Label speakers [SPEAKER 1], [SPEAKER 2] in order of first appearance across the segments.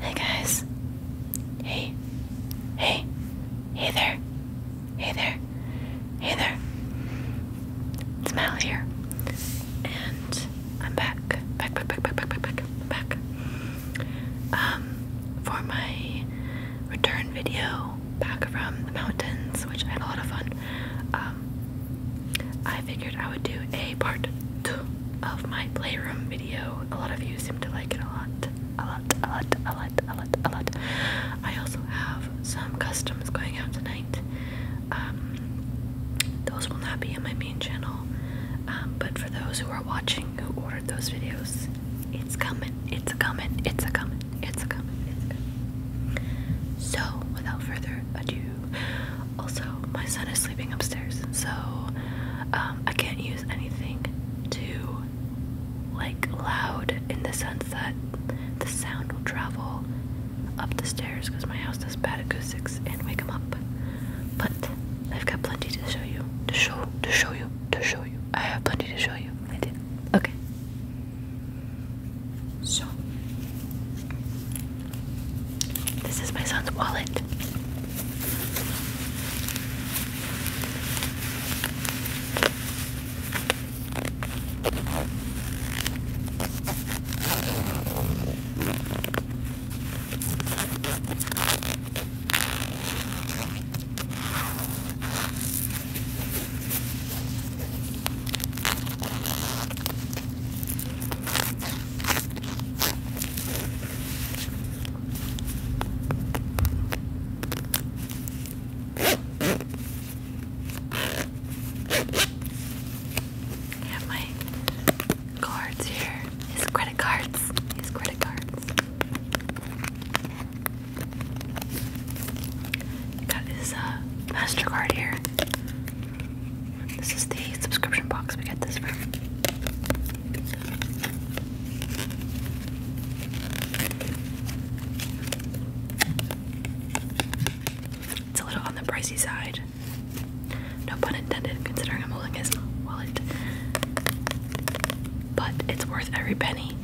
[SPEAKER 1] Hey guys. Hey. Hey. Hey there. Hey there. Hey there. It's Mal here. And I'm back. Back, back, back, back, back, back, back, back. Um, for my return video back from the mountains, which I had a lot of fun. Um, I figured I would do a part two of my playroom video. A lot of you seem to like it a lot, a lot, a lot, a lot, a lot, a lot. I also have some customs going out tonight. Um, those will not be in my main channel, um, but for those who are watching who ordered those videos, it's coming, it's a coming, it's a coming, it's a coming, it's a coming. So, without further ado, also, my son is sleeping upstairs, so um, I can't use anything too like loud in the sense that the sound will travel up the stairs because my house does bad acoustics and wake him up. But I've got plenty to show you. To show, to show you, to show you. I have plenty to show you. I did. Okay. So, this is my son's wallet. I have my cards here. His credit cards. His credit cards. Got his uh, MasterCard here. This is the subscription box we get this from. It's a little on the pricey side. No pun intended, considering I'm holding his wallet. But it's worth every penny.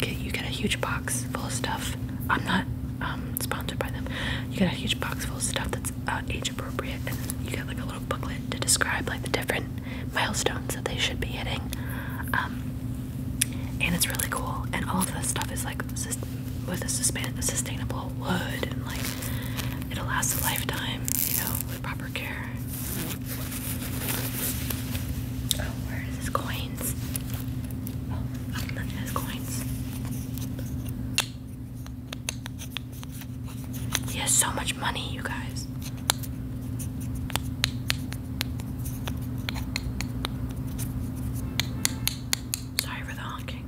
[SPEAKER 1] You get a huge box full of stuff. I'm not um, sponsored by them. You get a huge box full of stuff that uh, age appropriate, and you get like a little booklet to describe like the different milestones that they should be hitting. Um, and it's really cool, and all of this stuff is like with a sustainable wood, and like it'll last a lifetime, you know, with proper care. Oh, where is his coins? Oh, nothing has coins. He has so much money, you guys. Sorry for the honking.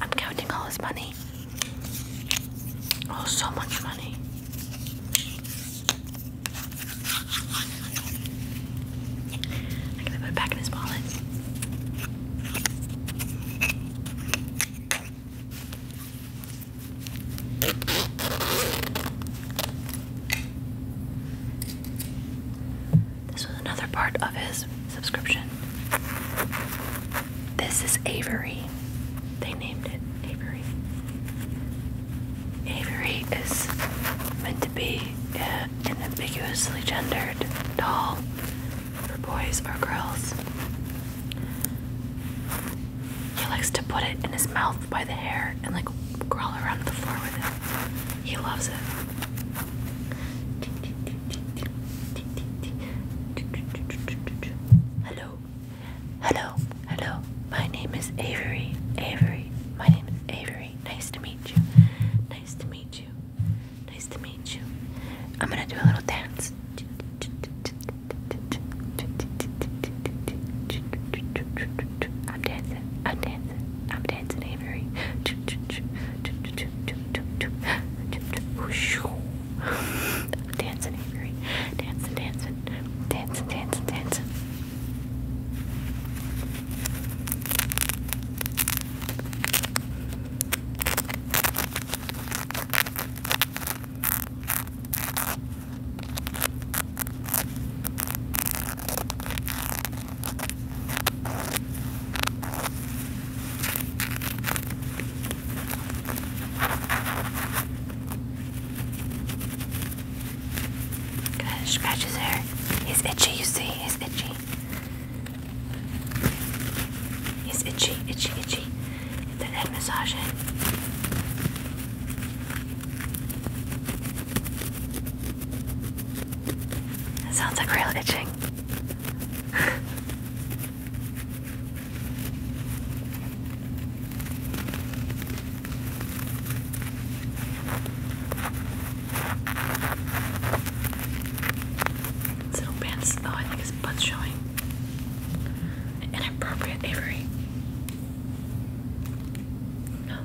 [SPEAKER 1] I'm counting all this money. Oh, so much money. I'm gonna put it back in his wallet. This was another part of his subscription. This is Avery. They named it Avery. Avery is meant to be uh, an ambiguously gendered doll for boys or girls. He likes to put it in his mouth by the hair and like crawl around the floor with it. He loves it. Hello, Hello, hello. My name is Avery. Avery. My name is Avery. Nice to meet you. Nice to meet you. Nice to meet you. I'm gonna do a little dance. I'm dancing. I'm dancing. I'm dancing, Avery. dancing, Avery. Dancing, dancing, dance, dance, dance. Good, scratch his hair. He's itchy, you see, he's itchy. He's itchy, itchy, itchy. Get that head massage in. sounds like real itching. little pants, oh, I think his butt's showing. Inappropriate Avery. No.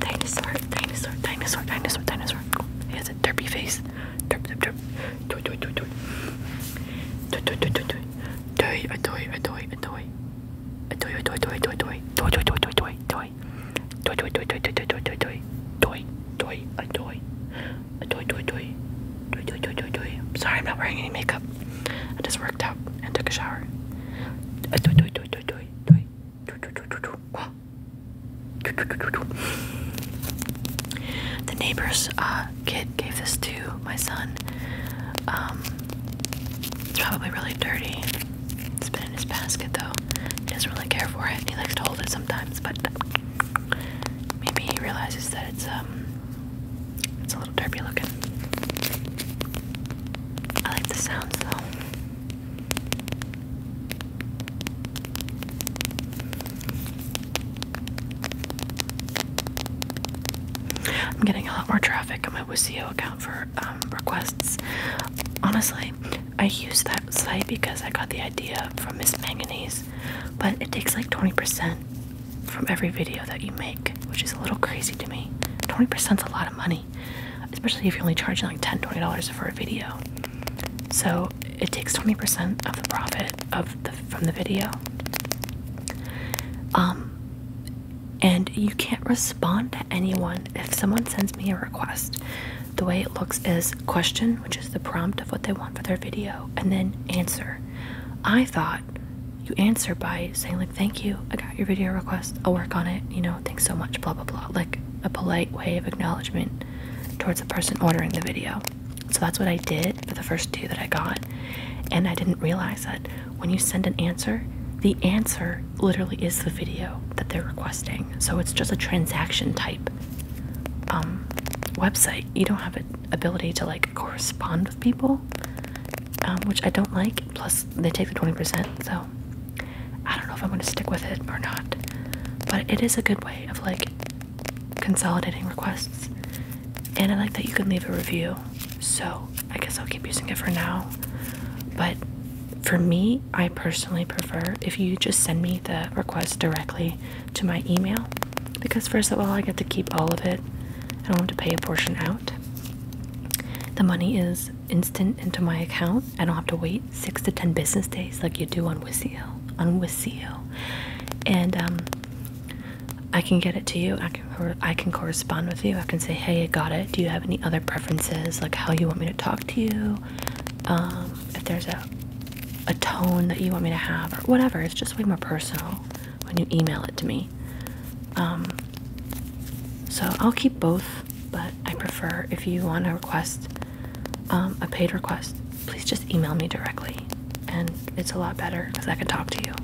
[SPEAKER 1] Dinosaur, dinosaur, dinosaur, dinosaur, dinosaur. He has a derpy face. Derp, derp, derp. Toy, toy, toy, toy. Toy, toy, toy, toy, toy. Toy, a toy, a toy, a toy. A toy, a toy, toy, toy, toy. Toy, toy, toy, toy, toy, toy. Toy, toy, toy, toy, toy, toy, toy, toy. Toy, toy, a toy. A toy, toy, toy. Toy, toy, toy, toy, toy. I'm sorry, I'm not wearing any makeup. I just worked out and took a shower. A toy, toy, toy, toy, toy, toy. The neighbors uh, kid gave this to my son. Um, it's probably really dirty. It's been in his basket though. He doesn't really care for it. He likes to hold it sometimes, but maybe he realizes that it's um it's a little dirty looking. I like the sounds though. I'm getting a lot more traffic on my Wisio account for um, requests. Honestly, I use that site because I got the idea from Miss Manganese, but it takes like 20% from every video that you make, which is a little crazy to me. 20% is a lot of money, especially if you're only charging like $10, $20 for a video. So it takes 20% of the profit of the from the video. Um, and you can't respond to anyone. If someone sends me a request, the way it looks is question, which is the prompt of what they want for their video, and then answer. I thought you answer by saying, like, thank you, I got your video request, I'll work on it, you know, thanks so much, blah, blah, blah. Like a polite way of acknowledgement towards the person ordering the video. So that's what I did for the first two that I got. And I didn't realize that when you send an answer, the answer literally is the video that they're requesting. So it's just a transaction type um, website. You don't have an ability to like correspond with people, um, which I don't like. Plus, they take the 20%. So I don't know if I'm going to stick with it or not. But it is a good way of like consolidating requests. And I like that you can leave a review. So I guess I'll keep using it for now. But for me, I personally prefer if you just send me the request directly to my email because, first of all, I get to keep all of it. I don't have to pay a portion out. The money is instant into my account. I don't have to wait six to ten business days, like you do on Wisio. On Wisio, and um, I can get it to you. I can I can correspond with you. I can say, hey, I got it. Do you have any other preferences, like how you want me to talk to you? Um, if there's a a tone that you want me to have, or whatever. It's just way more personal when you email it to me. Um, so I'll keep both, but I prefer if you want to request um, a paid request, please just email me directly. And it's a lot better because I can talk to you.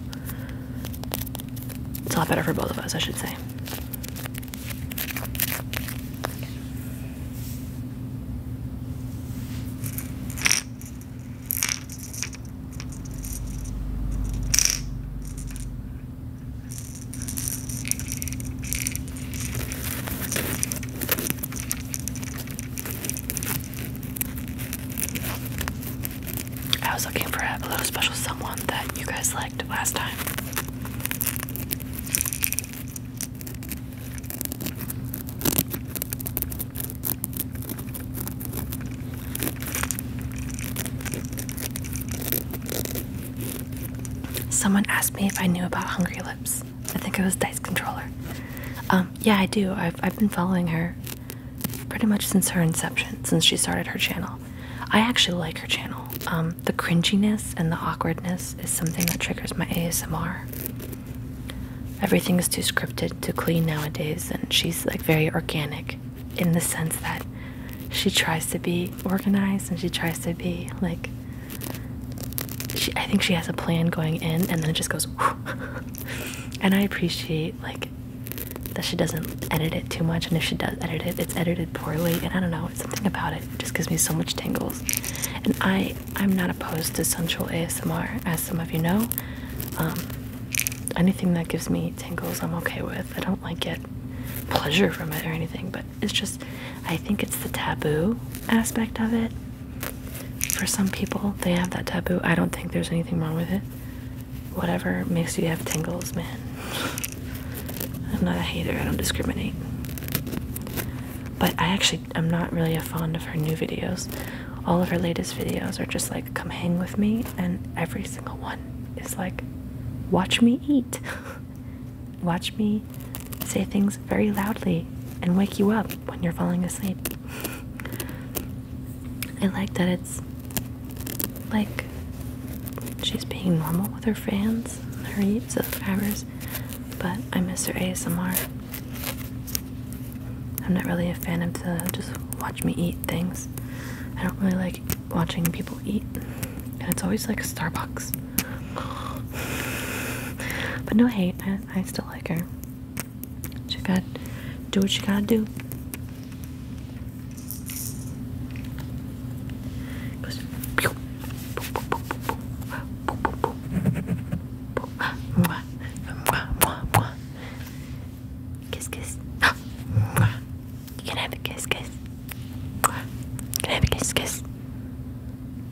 [SPEAKER 1] It's a lot better for both of us, I should say. I was looking for a little special someone that you guys liked last time. Someone asked me if I knew about Hungry Lips. I think it was dice controller. Um, yeah, I do. I've I've been following her pretty much since her inception, since she started her channel. I actually like her channel. Um, the cringiness and the awkwardness is something that triggers my ASMR. Everything is too scripted, too clean nowadays, and she's like very organic in the sense that she tries to be organized and she tries to be like she, I think she has a plan going in, and then it just goes. and I appreciate like that she doesn't edit it too much, and if she does edit it, it's edited poorly. And I don't know, something about it, it just gives me so much tingles. And I, I'm not opposed to sensual ASMR, as some of you know. Um, anything that gives me tingles, I'm okay with. I don't like get pleasure from it or anything, but it's just I think it's the taboo aspect of it. For some people, they have that taboo. I don't think there's anything wrong with it. Whatever makes you have tingles, man. I'm not a hater, I don't discriminate. But I actually I'm not really a fan of her new videos. All of her latest videos are just like come hang with me and every single one is like watch me eat. Watch me say things very loudly and wake you up when you're falling asleep. I like that it's like she's being normal with her fans, her subscribers, but I miss her ASMR. I'm not really a fan of the just watch me eat things. I don't really like watching people eat. And it's always like Starbucks. But no hate, I, still like her. She got to do what you gotta do. Kiss, kiss. You can have a kiss, kiss. Can I have a kiss, kiss?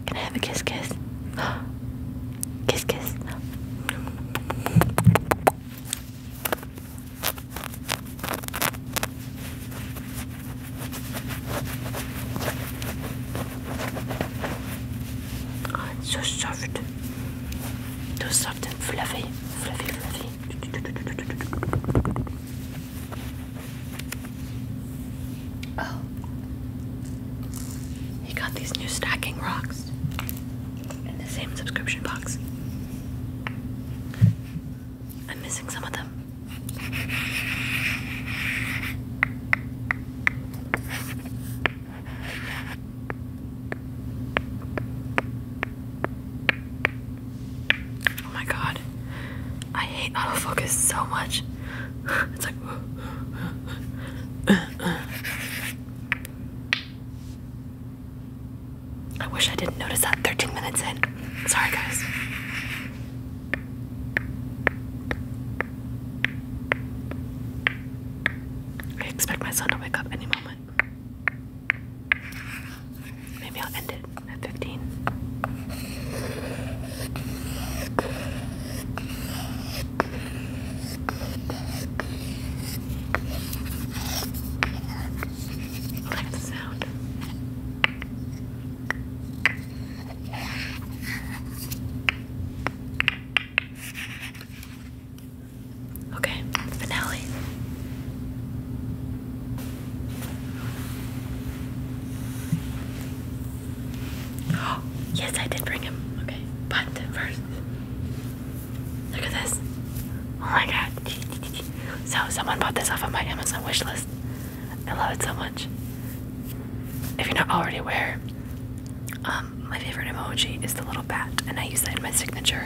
[SPEAKER 1] Can I have a kiss, kiss? kiss, kiss. Oh, it's so soft. So soft and fluffy. Fluffy, fluffy. Oh. He got these new stacking rocks in the same subscription box. I'm missing some of them. Oh my god. I hate autofocus so much. It's like. I wish I didn't notice that 13 minutes in. Sorry, guys. I expect my son to wake up any moment. Maybe I'll end it at 15. like the sound. Okay, finale yes, I did bring him. Okay, but first, look at this. Oh my god. So, someone bought this off of my Amazon wishlist. I love it so much. If you're not already aware, um, my favorite emoji is the little bat, and I use that in my signature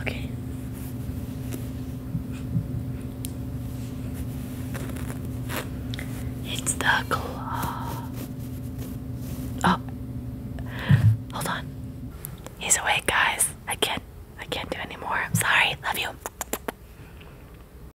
[SPEAKER 1] okay. It's the claw. Oh. Hold on. He's awake, guys. I can't I can't do anymore. I'm sorry. Love you.